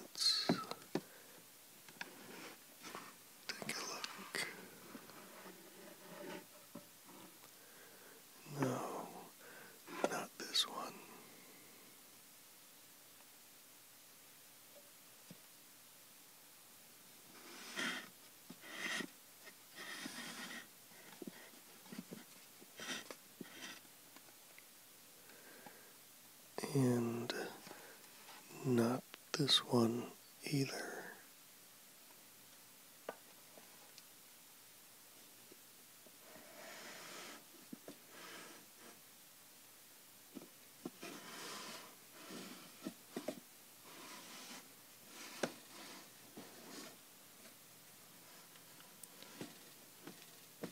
Let's take a look. No, not this one and not this one either.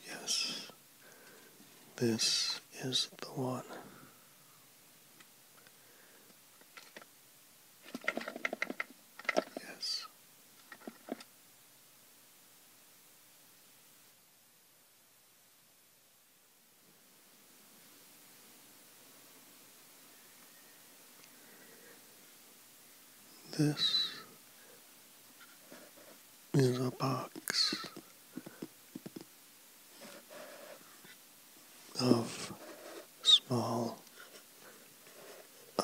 Yes, this is the one. Yes. This is a box of small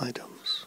items.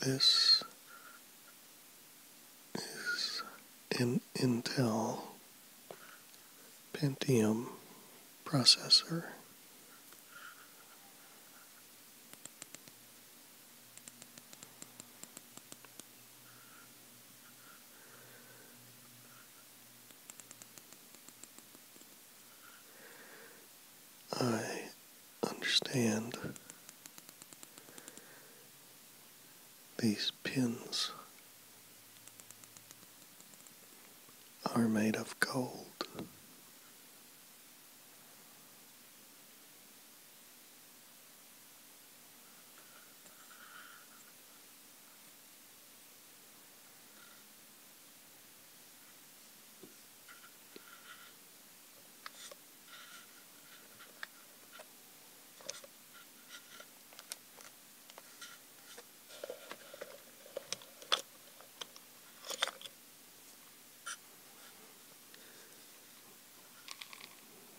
This is an Intel Pentium processor. I understand these pins are made of gold.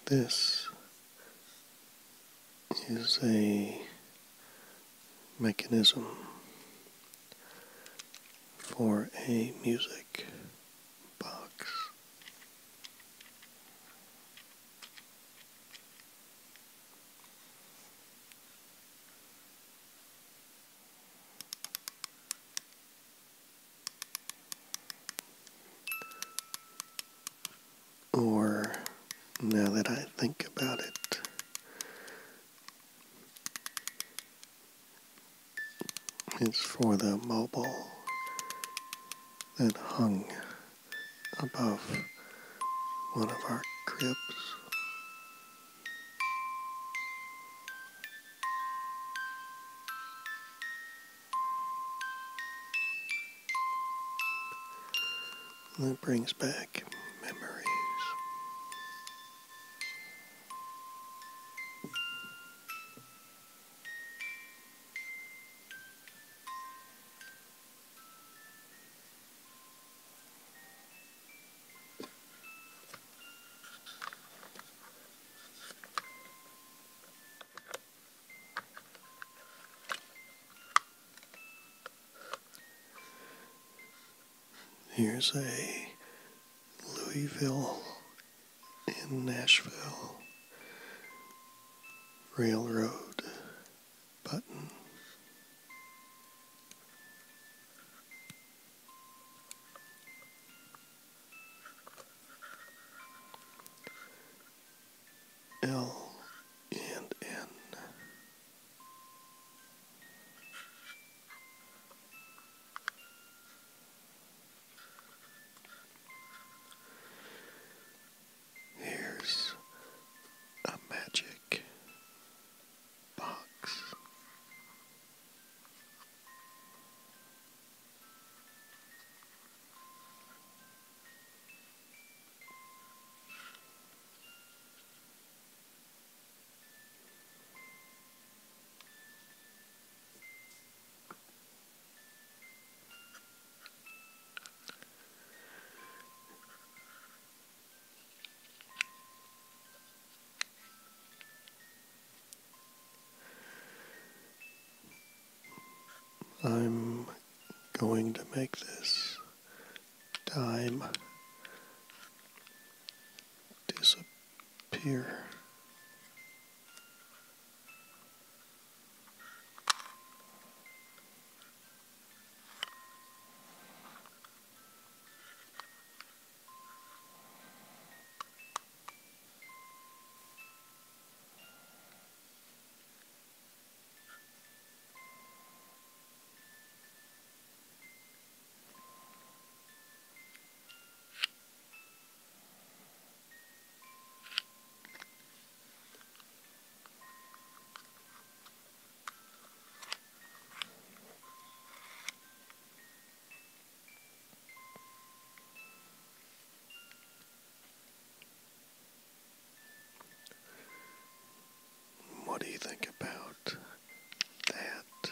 This is a mechanism for a music or, now that I think about it, it's for the mobile that hung above one of our cribs. And it brings back memories. Here's a Louisville in Nashville railroad button. L and N. Here's a magic box. I'm going to make this time disappear. Pier. What do you think about that?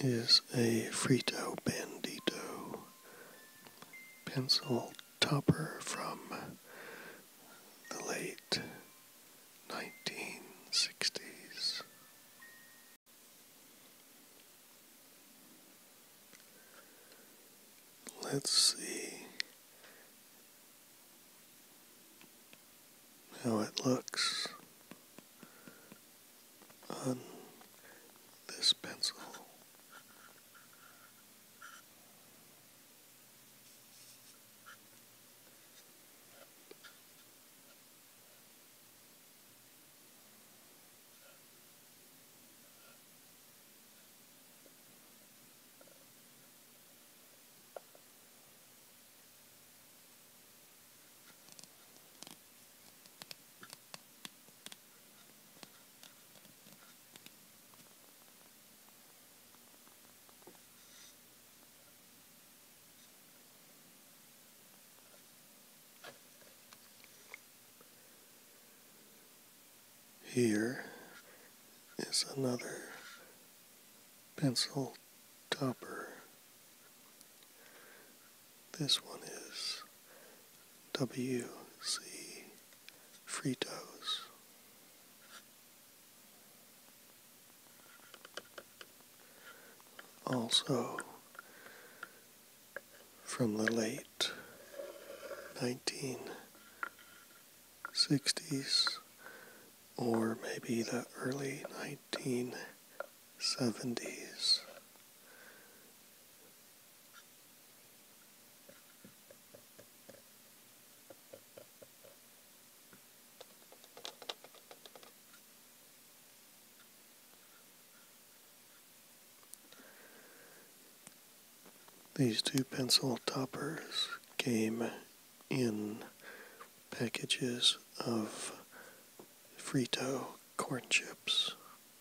is a Frito Bandito pencil topper from the late 1960s. Let's see how it looks on this pencil. Here is another pencil topper. This one is WC Fritos. Also from the late 1960s or maybe the early 1970s. These two pencil toppers came in packages of Frito corn chips.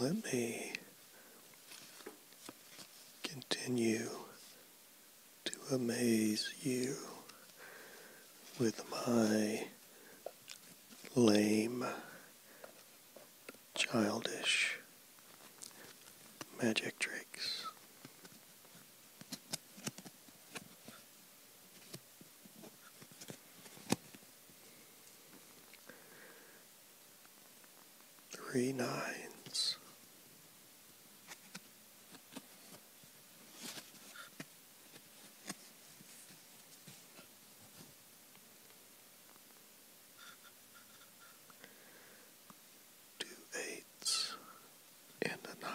Let me continue to amaze you with my lame childish magic tricks. Three nines two eights and a nine.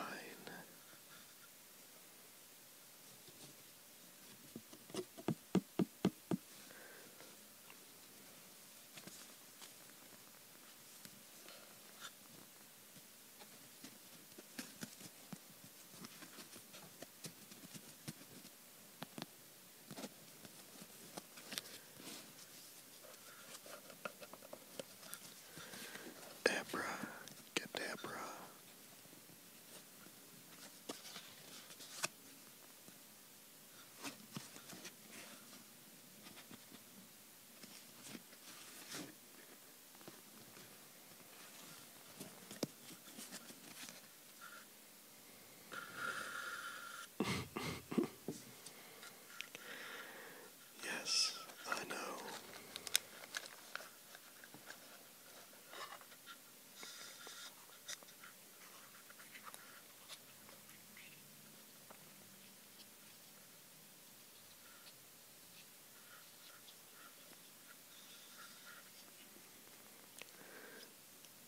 Abracadabra yes, I know.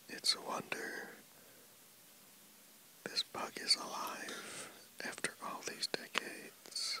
It's a wonder this bug is alive after all these decades.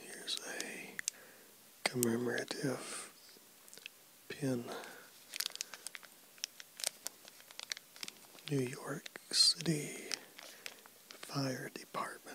Here's a commemorative pin. New York City Fire Department.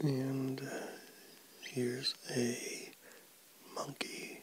And uh, here's a monkey.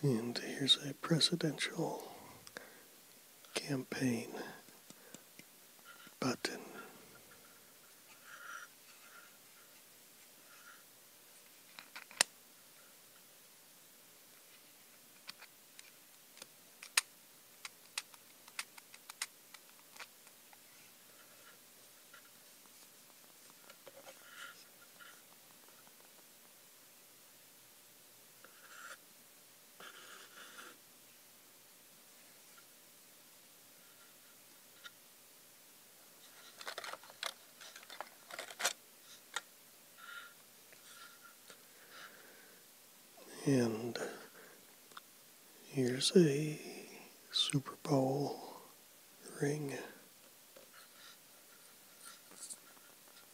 And here's a presidential campaign button. And here's a Super Bowl ring.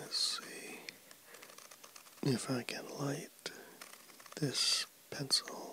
Let's see if I can light this pencil.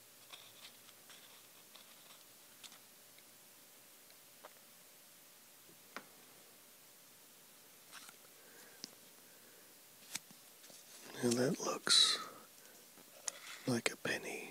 Now that looks like a penny.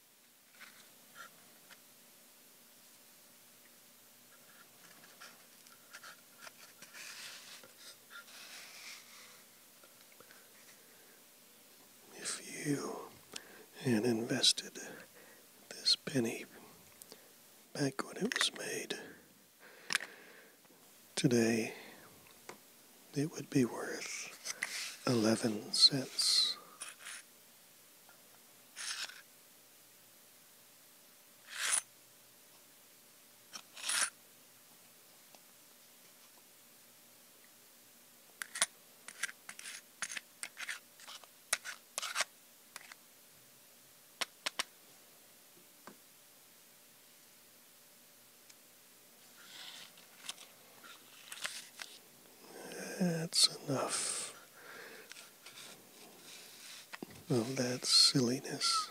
If you had invested this penny back when it was made, today it would be worth 11 cents. That's enough of that silliness.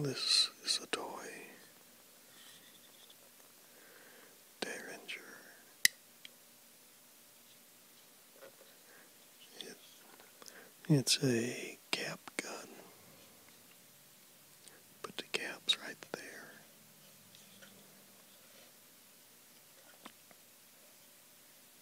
This is a toy Derringer. it's a cap gun. Put the caps right there.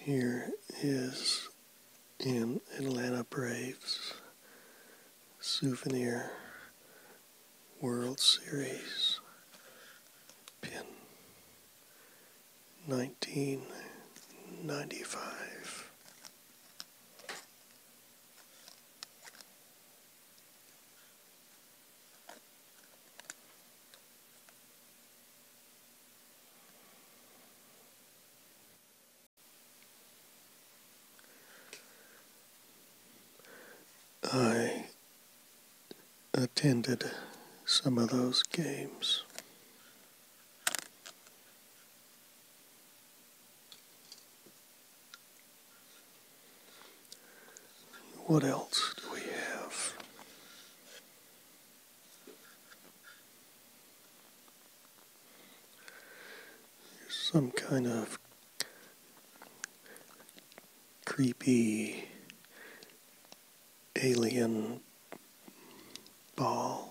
Here is an Atlanta Braves souvenir World Series pin 1995. I attended some of those games. What else do we have? There's some kind of creepy alien ball.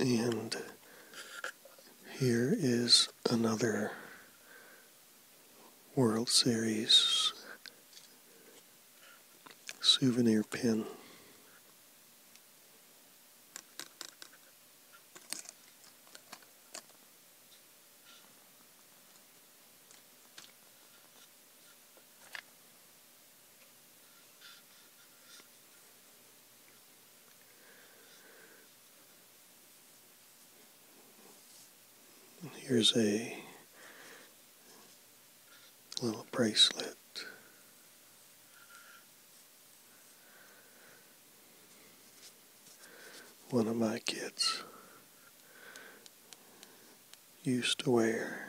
And here is another World Series souvenir pin. Here's a little bracelet. One of my kids used to wear.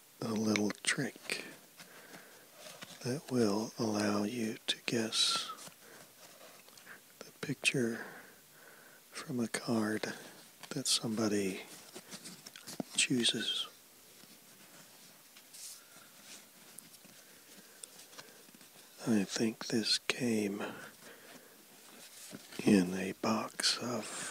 a little trick that will allow you to guess the picture from a card that somebody chooses. I think this came in a box of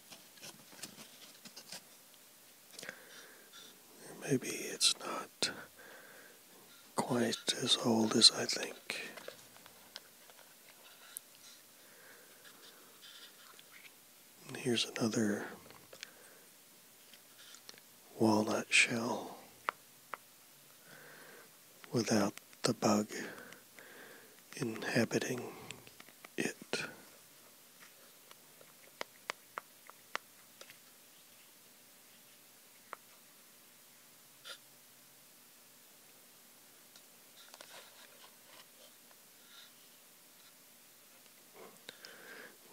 Maybe it's not quite as old as I think. here's another walnut shell without the bug inhabiting it.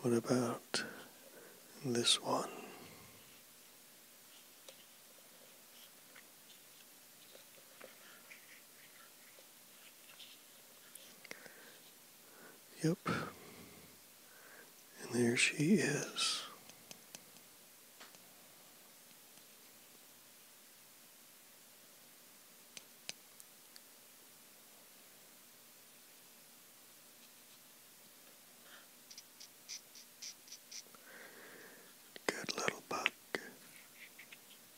What about this one? Yep. And there she is. Good little buck.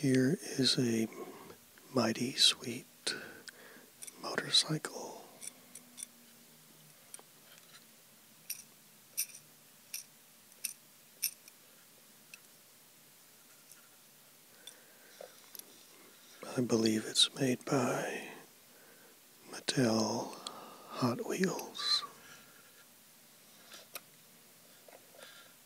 here is a mighty sweet motorcycle. I believe it's made by Mattel Hot Wheels.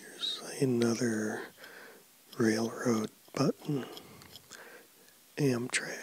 Here's another railroad button, Amtrak.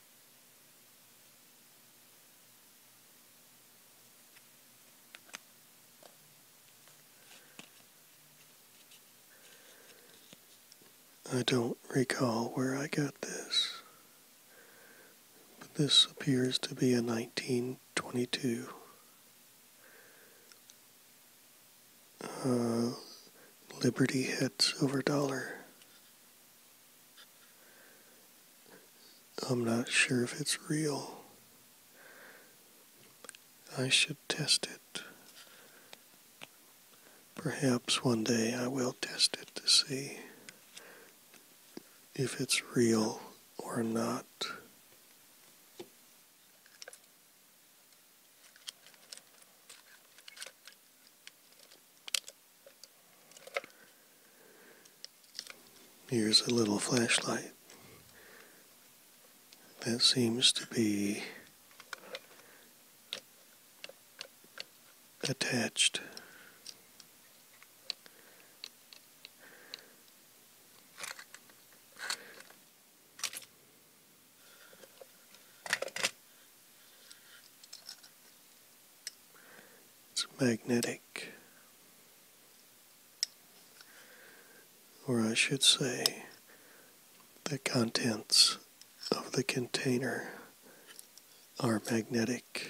I don't recall where I got this, but this appears to be a 1922 uh, Liberty Heads over Dollar. I'm not sure if it's real. I should test it. Perhaps one day I will test it to see if it's real or not. Here's a little flashlight that seems to be attached. It's magnetic, or I should say, the contents of the container are magnetic.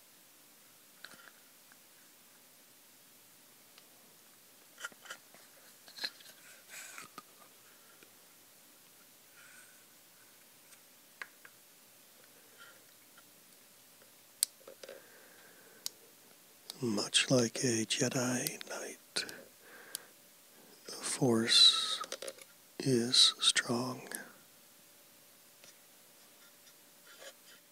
Much like a Jedi Knight, the Force is strong.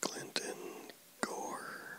Clinton Gore.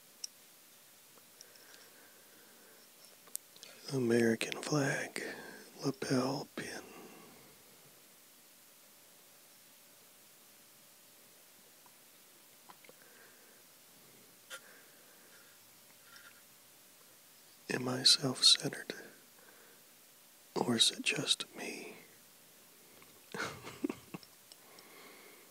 American flag lapel pin. Am I self centered? Or is it just me?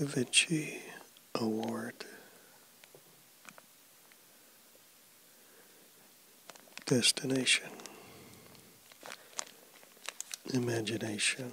Da Award destination, imagination.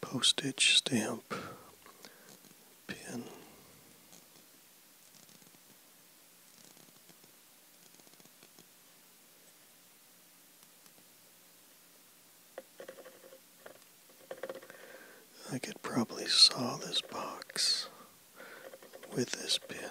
postage stamp pin. I could probably saw this box with this pin.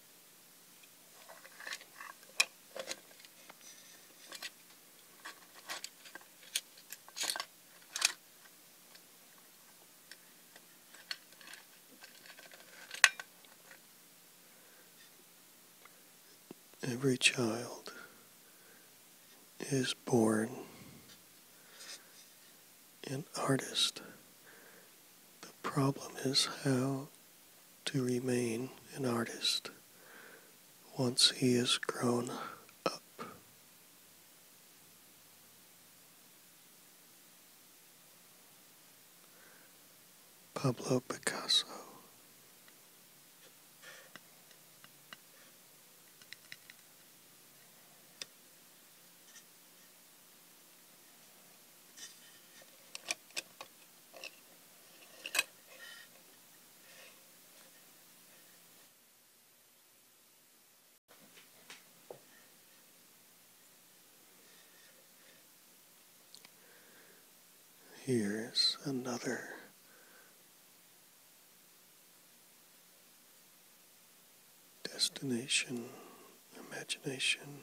Every child is born an artist. The problem is how to remain an artist once he is grown up. Pablo Picasso. Here's another destination, imagination,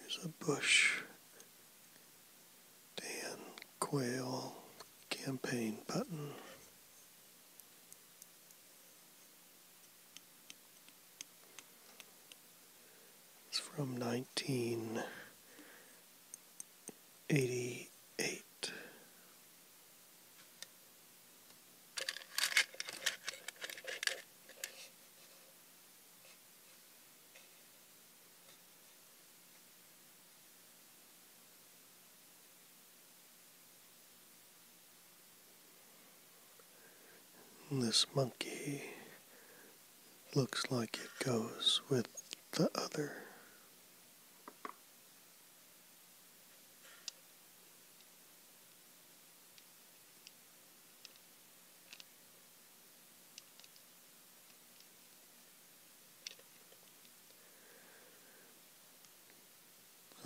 Here's a Bush Dan Quayle campaign button. It's from 1988. This monkey looks like it goes with the other.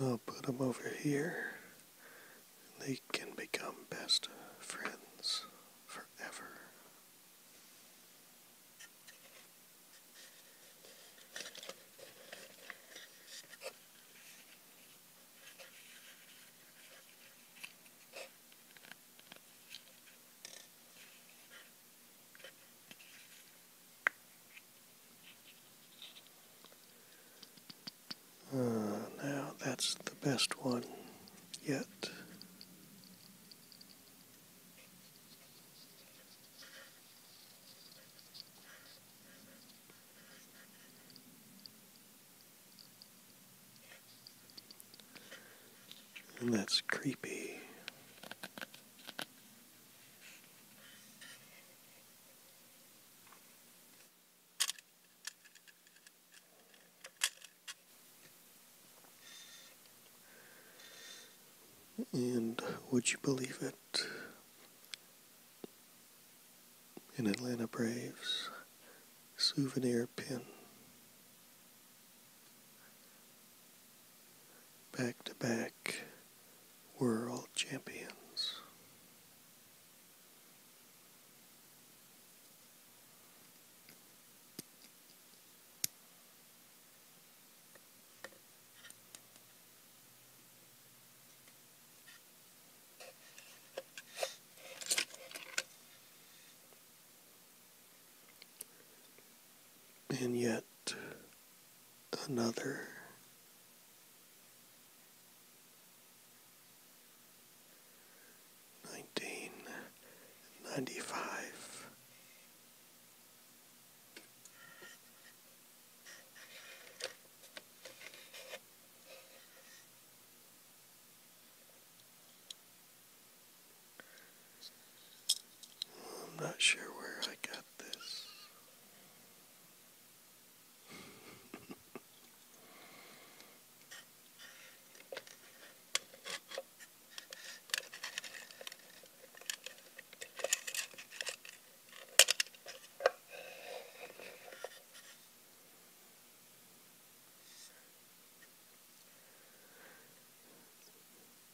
I'll put them over here. They can become best friends forever. Uh, now that's the best one yet. And that's creepy. And would you believe it? an Atlanta Braves souvenir pin. Back to back world champions. And yet another. Nineteen ninety five. I'm not sure where I got this.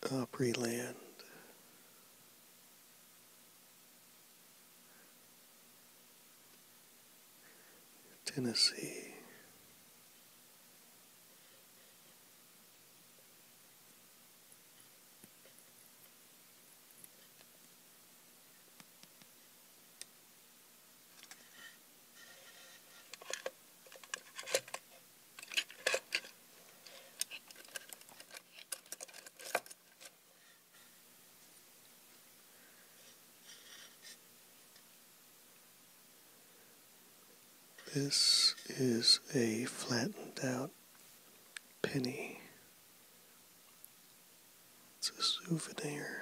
Opryland. Tennessee. This is a flattened out penny it's a souvenir.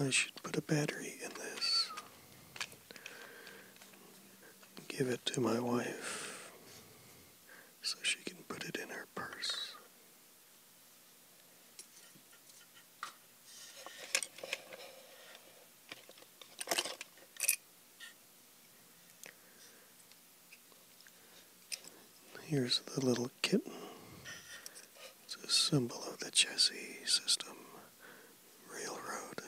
I should put a battery in this. Give it to my wife so she can put it in her purse. Here's the little kitten. It's a symbol of the Jesse system Railroad.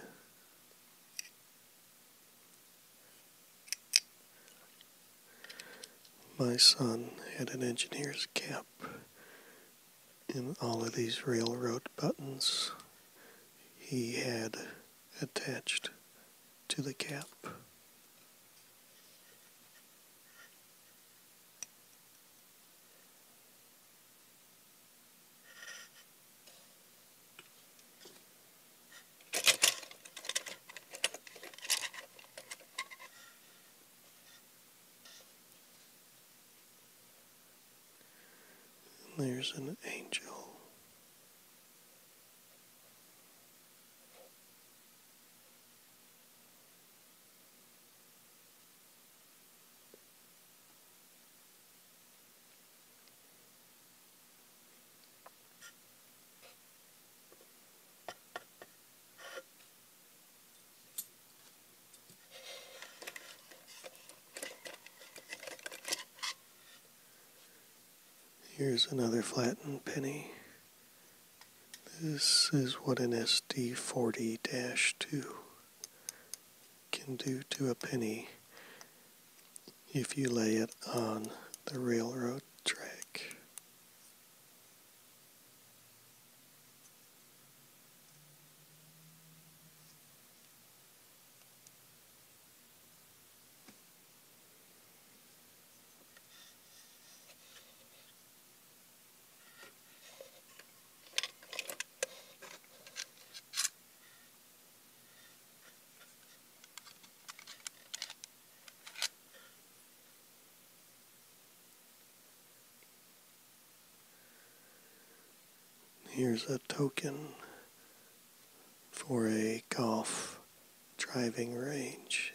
My son had an engineer's cap and all of these railroad buttons he had attached to the cap. There's an angel. Here's another flattened penny. This is what an SD40-2 can do to a penny if you lay it on the railroad track. Here's a token for a golf driving range.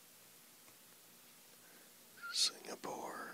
Singapore.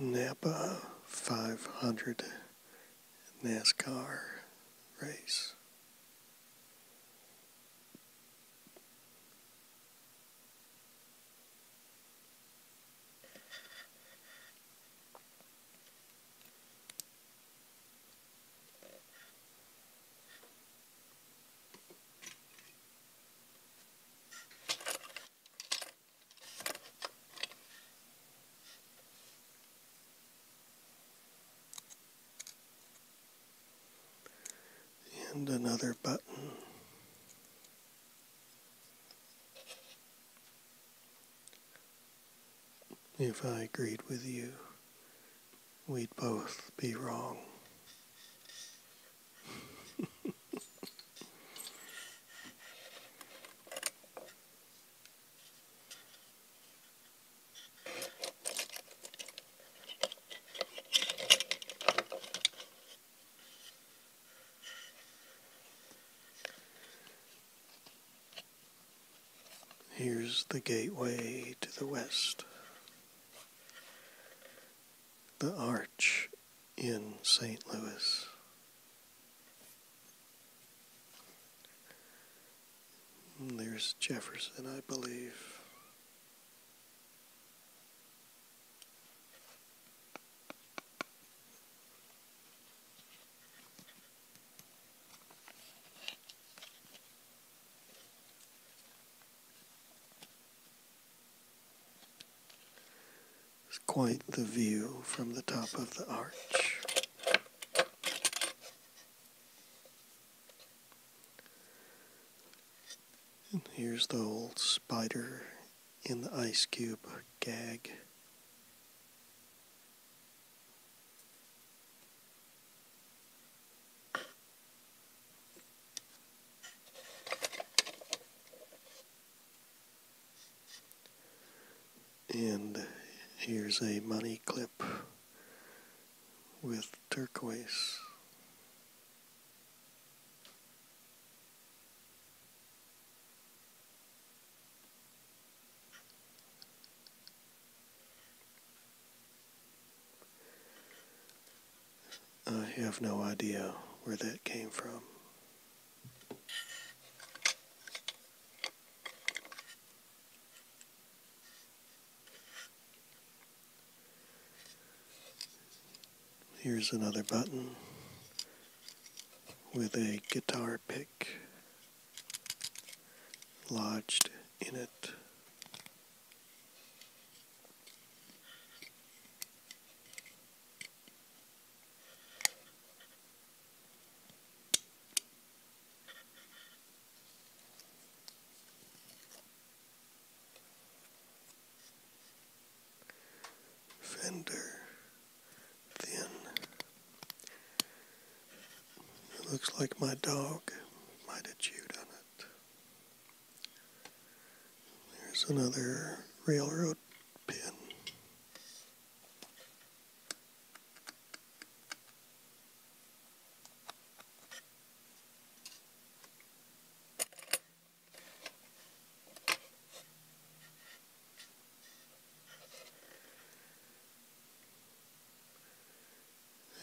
Napa 500 NASCAR race and another button. If I agreed with you, we'd both be wrong. Here's the gateway to the west, the arch in St. Louis. There's Jefferson, I believe. It's quite the view from the top of the arch. And here's the old spider in the ice cube gag. And here's a money clip with turquoise. I have no idea where that came from. Here's another button with a guitar pick lodged in it. Fender thin. looks like my dog might have chewed on it. There's another railroad pin.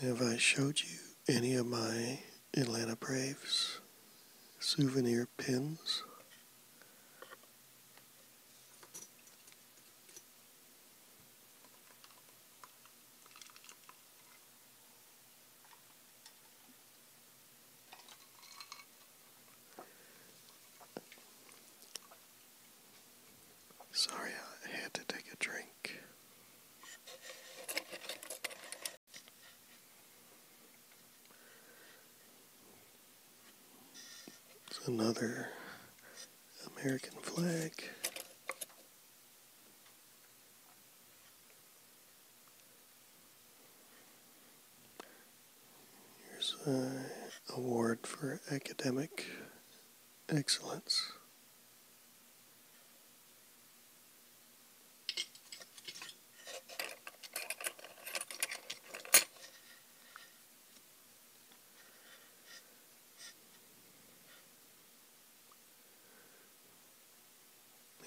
Have I showed you any of my Atlanta Braves souvenir pins? Sorry, I had to take a drink. It's another American flag. Here's an award for academic excellence.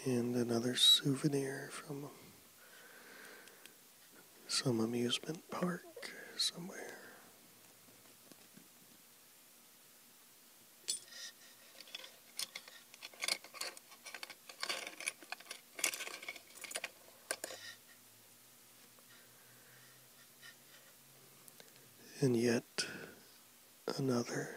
and another souvenir from some amusement park somewhere. And yet another.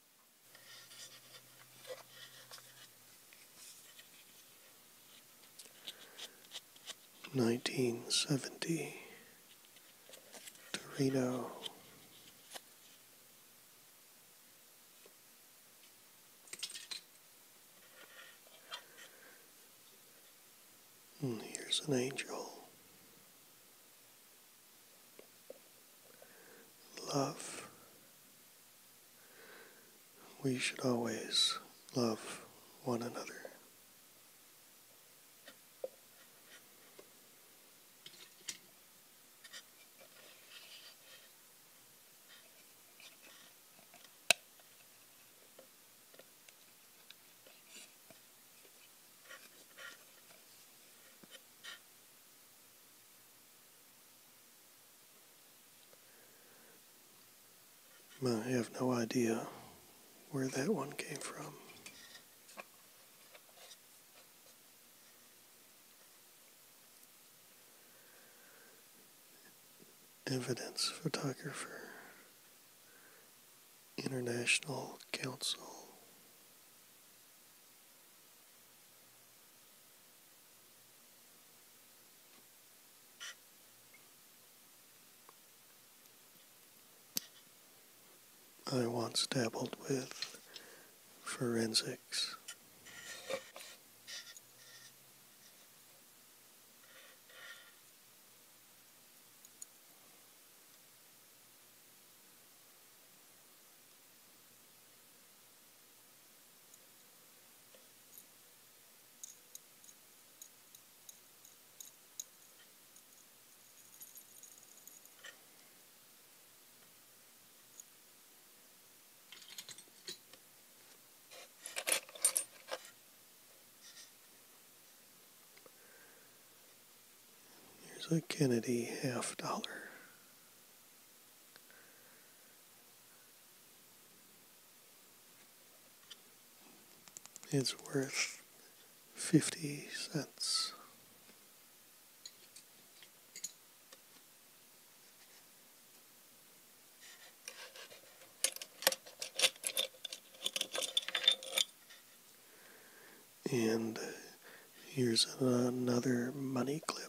Nineteen seventy Torino hmm, here's an angel love we should always love one another. I have no idea where that one came from. Evidence Photographer, International Council. I once dabbled with forensics. Here's a Kennedy half dollar. It's worth 50 cents. And uh, here's another money clip.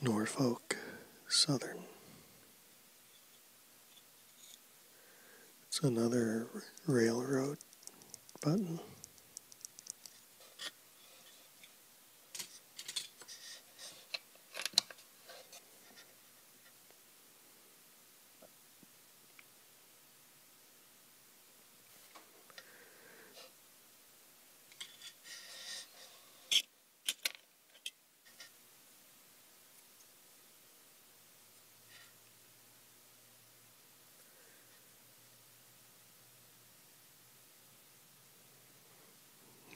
Norfolk Southern. It's another railroad button.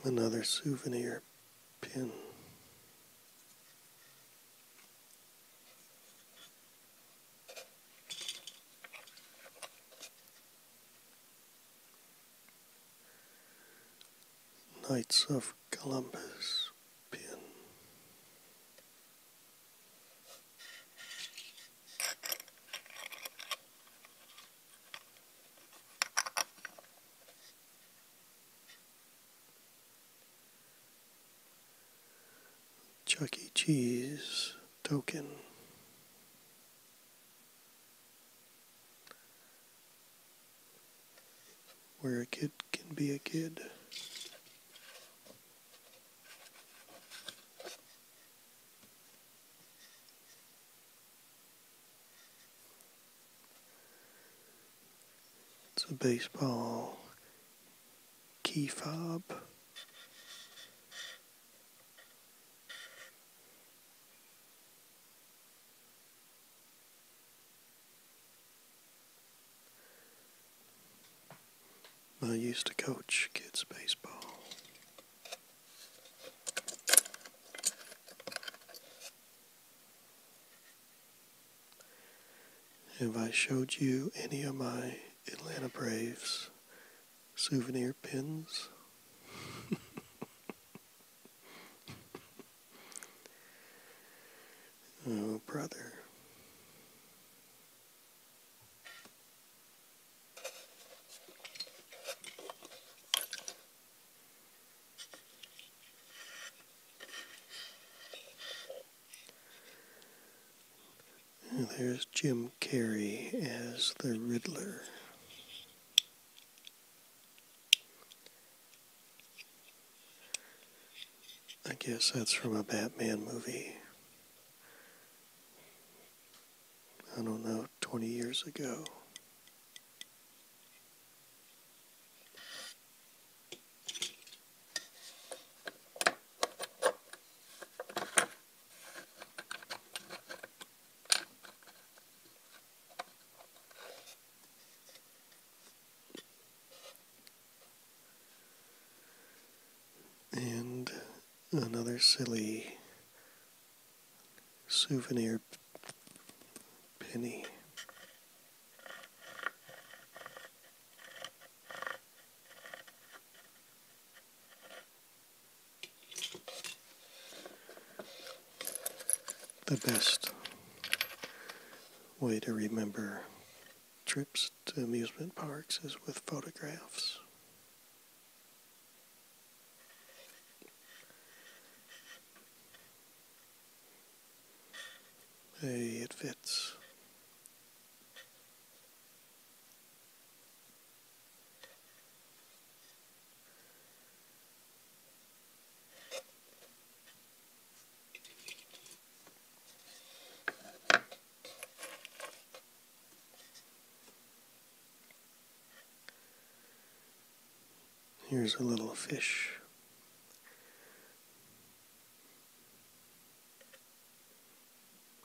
Another souvenir pin. Knights of Columbus pin. Chuck E. Cheese token where a kid can be a kid. It's a baseball key fob. I used to coach kids baseball. Have I showed you any of my Atlanta Braves souvenir pins. oh, brother. there's Jim Jim Carrey as the Riddler. I guess that's from a Batman movie. I don't know, 20 years ago. And another silly souvenir penny the best way to remember trips to amusement parks is with photographs. Hey, it fits. Here's a little fish.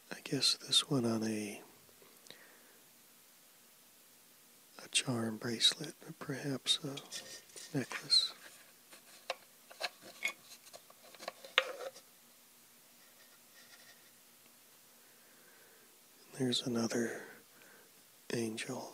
I guess this one on a a charm bracelet, or perhaps a necklace. there's another angel.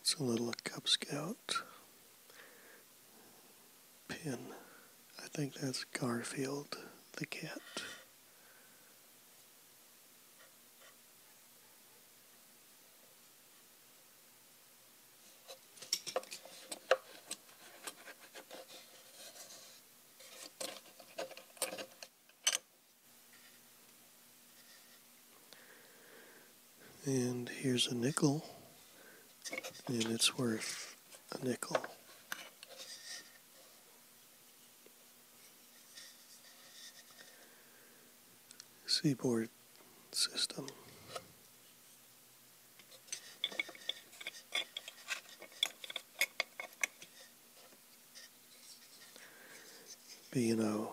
It's a little Cub Scout pin. I think that's Garfield the cat. And here's a nickel, and it's worth a nickel seaboard system. B&O,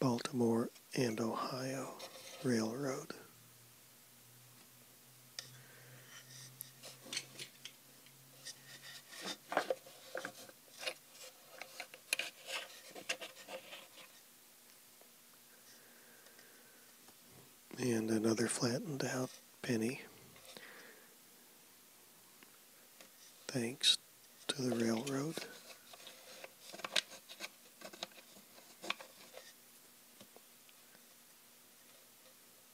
Baltimore and Ohio Railroad and another flattened out penny thanks to the railroad.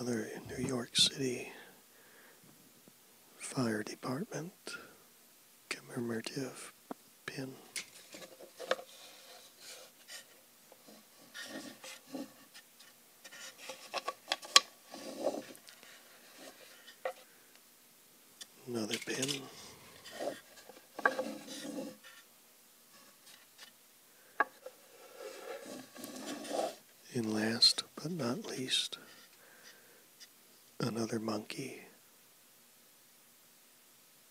Another New York City Fire Department commemorative pin. Another pin. And last but not least, another monkey.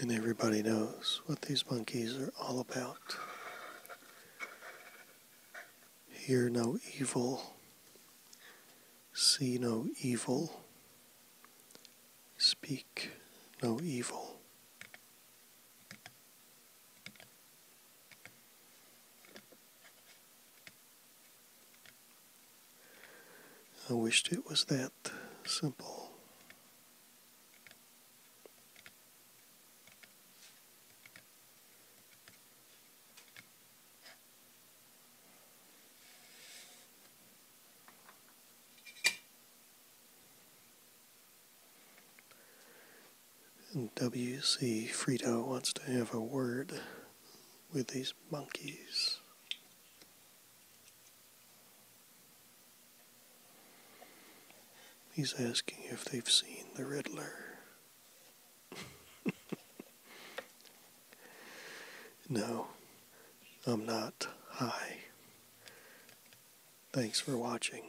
And everybody knows what these monkeys are all about. Hear no evil, see no evil, speak no evil. I wished it was that simple. And W.C. Frito wants to have a word with these monkeys. He's asking if they've seen the Riddler. no, I'm not high. Thanks for watching.